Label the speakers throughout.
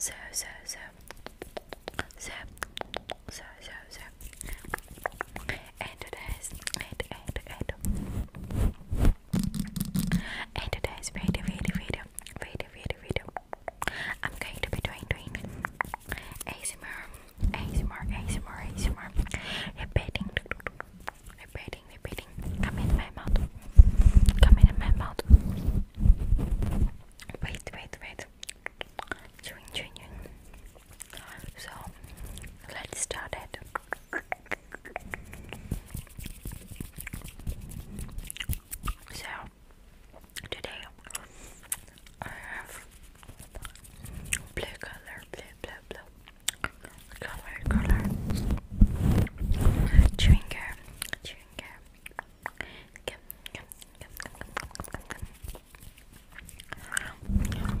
Speaker 1: So, so, so, so, so, so, so, and today's, and, and, and, and today's video, video, video, video, video, video, I'm going to be doing doing ASMR, ASMR,
Speaker 2: ASMR, ASMR, repeating, repeating, repeating. Come in my mouth. Come in my mouth.
Speaker 3: Wait, wait, wait. Chewing, chewing, chewing. So let's start it. So Today I have blue color, blue, blue, blue color, color chewing gum, chewing gum, gum, gum, gum, gum, gum, gum,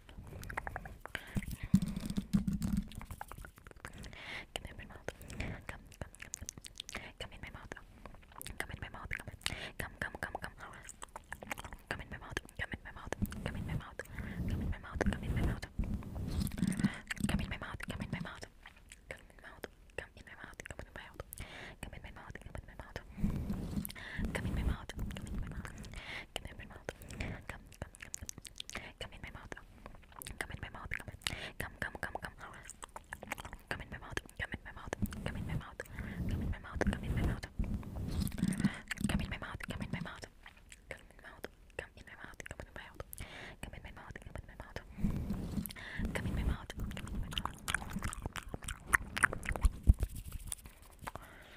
Speaker 3: Come in my mouth. Come, come, come. Come in my mouth. Come in my mouth. Come, come, come, come. Come in my mouth. Come in my mouth. Come in my mouth. Come in my mouth. Come in my mouth. Come in my mouth. Come in my mouth. Come in my mouth. Come in my mouth. Come in my mouth. Come in my mouth. Come in my mouth. Come in my mouth. Come in my mouth. Come in my mouth. Come in my mouth. Come, come. Come in my mouth. Come in my mouth. Come in. Come, come, come, come. Come in my mouth. Come in my mouth. Come in my mouth. Come in my mouth. Come in my mouth. Come in my mouth. Come in my mouth. Come in my mouth. Come in my mouth. Come in my mouth. Come in my mouth. Come in my mouth. Come in my mouth. Come in my mouth.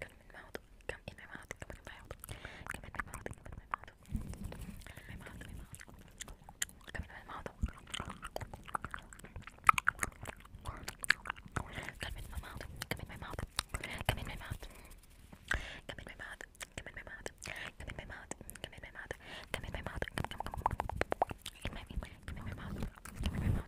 Speaker 3: Come in my mouth. Come in my mouth. Come in my mouth. Come in my mouth. Come in my mouth. Come in my mouth. Come in my mouth. Come in my mouth. Come in my mouth. Come in my mouth. Come in my mouth. Come in my mouth. Come in my mouth. Come in my mouth. Come in my mouth. Come in my mouth. Come in my mouth. Come in my mouth. Come in my mouth.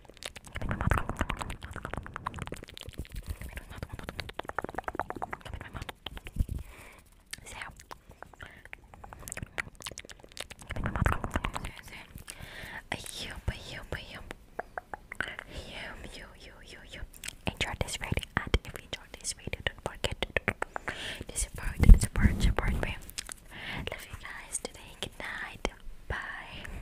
Speaker 3: So, I hope, I hope, I hope, you, you, you, you enjoyed this video. And if you enjoyed this video, don't forget to support, support, support me. Love you guys Good night. Bye.